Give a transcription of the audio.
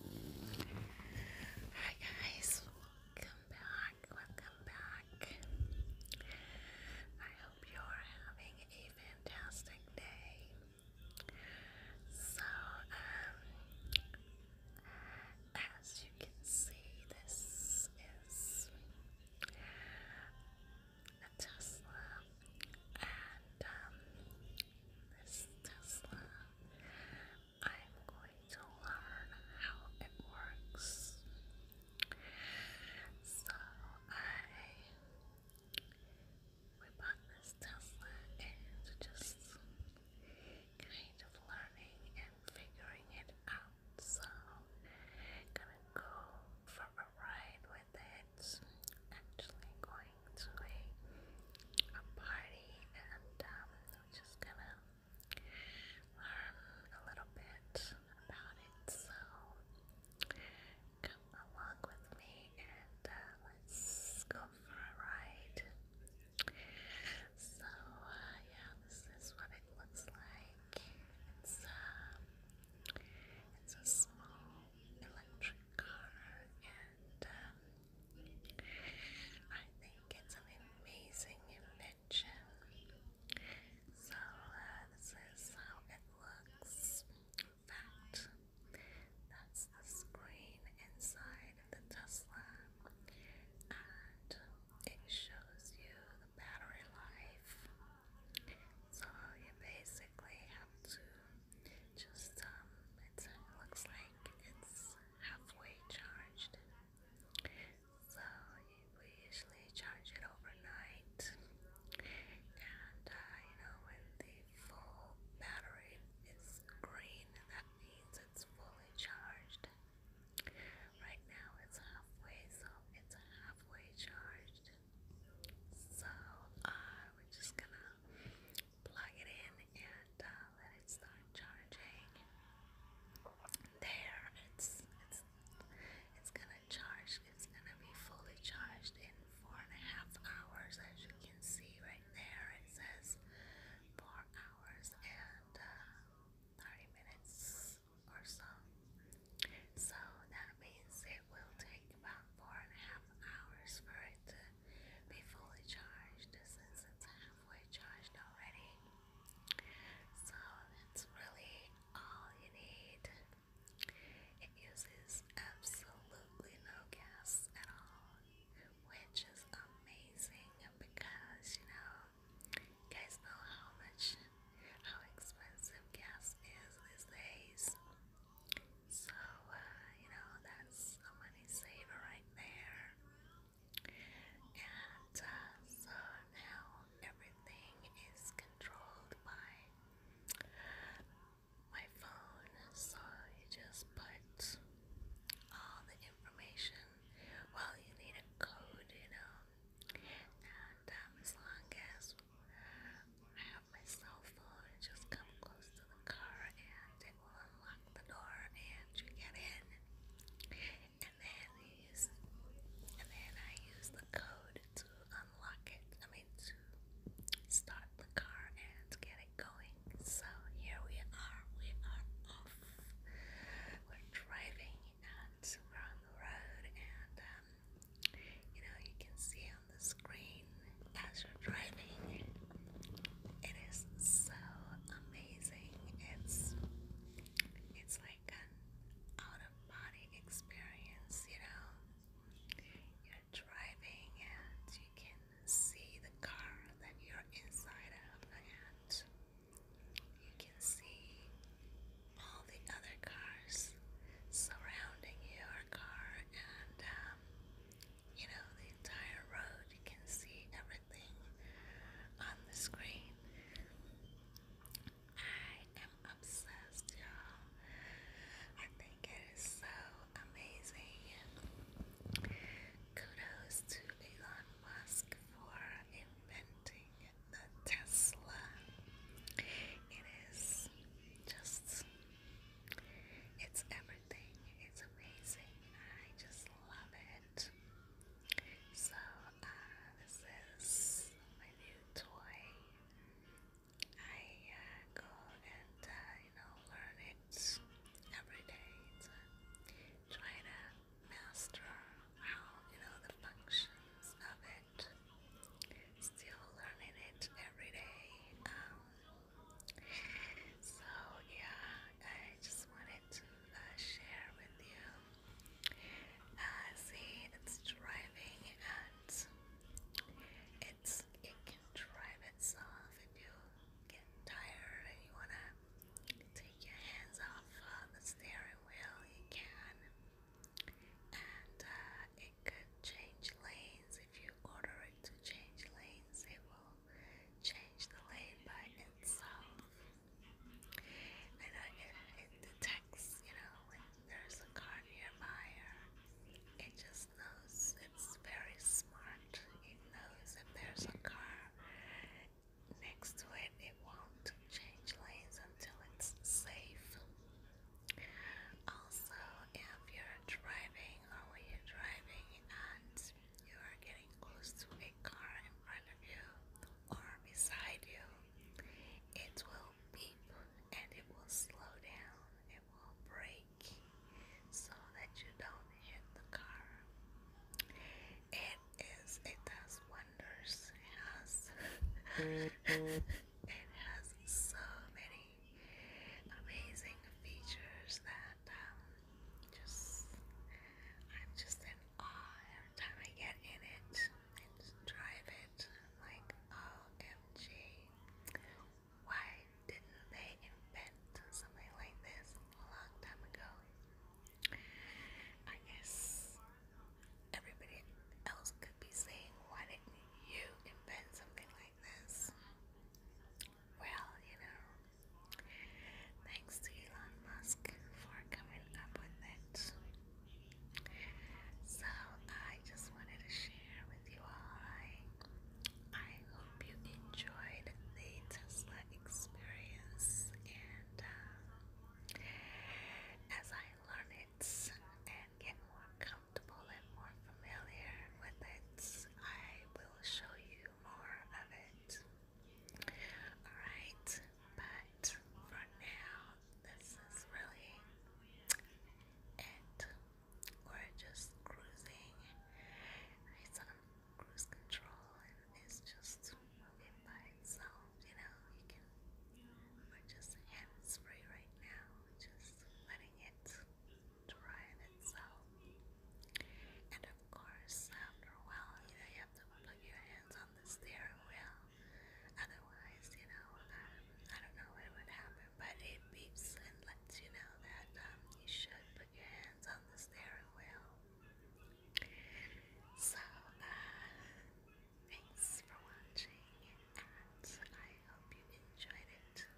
Hi guys, welcome back, welcome back. I hope you're having a fantastic day. So, um, as you can see, this is a Tesla, and um, this Tesla. I'm going to learn how it works. So I bought this Tesla and just kind of learning and figuring it out. So gonna go for a ride with it. Actually going to a, party and um, I'm just gonna learn a little bit about it. So come along with me and uh, let's go for a ride. So uh, yeah, this is what it looks like. It's uh, it's a small electric car, and um, I think it's an amazing invention. So uh, this is how it looks. In fact, that's the screen inside the Tesla, and it shows you the battery life. So you basically have to just um, uh, it looks like it's halfway charged. So we usually charge it overnight, and uh, you know when the full battery is green, that means it's fully charged. Right now it's halfway, so it's halfway charged. So uh, we're just gonna plug it in and uh, let it start charging. There, it's it's it's gonna charge. It's gonna be fully charged in four and a half hours, as you can see right there. It says four hours and uh, thirty minutes or so. So that means it will take about four and a half hours for it be fully charged since it's halfway charged already. So that's really all you need. It uses absolutely no gas at all, which is amazing because you know, guys know how much, how expensive gas is these days. So, uh, you know, that's a money saver right there. And uh, so now everything is controlled by my phone. So you just put all the information. Well, you need a code, you know. And um, as long as I have my cell phone, just come close to the car and unlock the door and you get in. And then I use, the code to unlock it. I mean to start the car and get it going. So here we are. We are off. We're driving and we're on the road and um, you know you can see on the screen as you're driving. It is so amazing. It's it's like an out of body experience, you know. You're driving and you can see the car that you're inside of and you can see all the other cars surrounding your car and um, you know, the entire road. You can see everything on the screen. I am obsessed, y'all. I think it is so amazing. Kudos to Elon Musk for inventing the Tesla. It is just, it's everything everything is amazing. I just love it. So, uh, this is my new toy. I uh, go and, uh, you know, learn it every day to to master how, you know, the functions of it. Still learning it every day. Um, so, yeah, I just wanted to uh, share with you. Uh, see, it's driving and it's, it can drive itself if you get tired and you want to take your hands off the steering wheel, you can. And uh, it could change lanes if you order it to change lanes, it will change the lane by itself. And I, it, it detects, you know, when there's a car nearby, or it just knows. It's very smart. It knows if there's a car next to it, it won't change lanes until it's safe. Also, if you're driving or when you're driving, and you are getting close to a car in front of you or beside you, it will beep and it will slow down, it will brake so that you don't hit the car. It is, it does wonders, it has, it has so many amazing features that um, just I'm just in awe every time I get in it and drive it. like, OMG, why didn't they invent something like this a long time ago? I guess everybody else could be saying, why didn't you invent something like this? Well, you know, thanks to Elon Musk for coming up with it. So I just wanted to share with you all. I, hope you enjoyed the Tesla experience, and um, as I learn it and get more comfortable and more familiar with it, I will show you more of it. Alright, but for now, this is really it. We're just cruising. It's on cruise control and it's just moving by itself, you know. we're just hands free right now, just letting it Ryan itself. And of course, after a while, you, have to put your hands on the steering wheel. Otherwise, you know, um, I don't know what would happen, but it beeps and lets you know that um, you should put your hands on the steering wheel. So, uh, thanks for watching, and I hope you enjoyed it.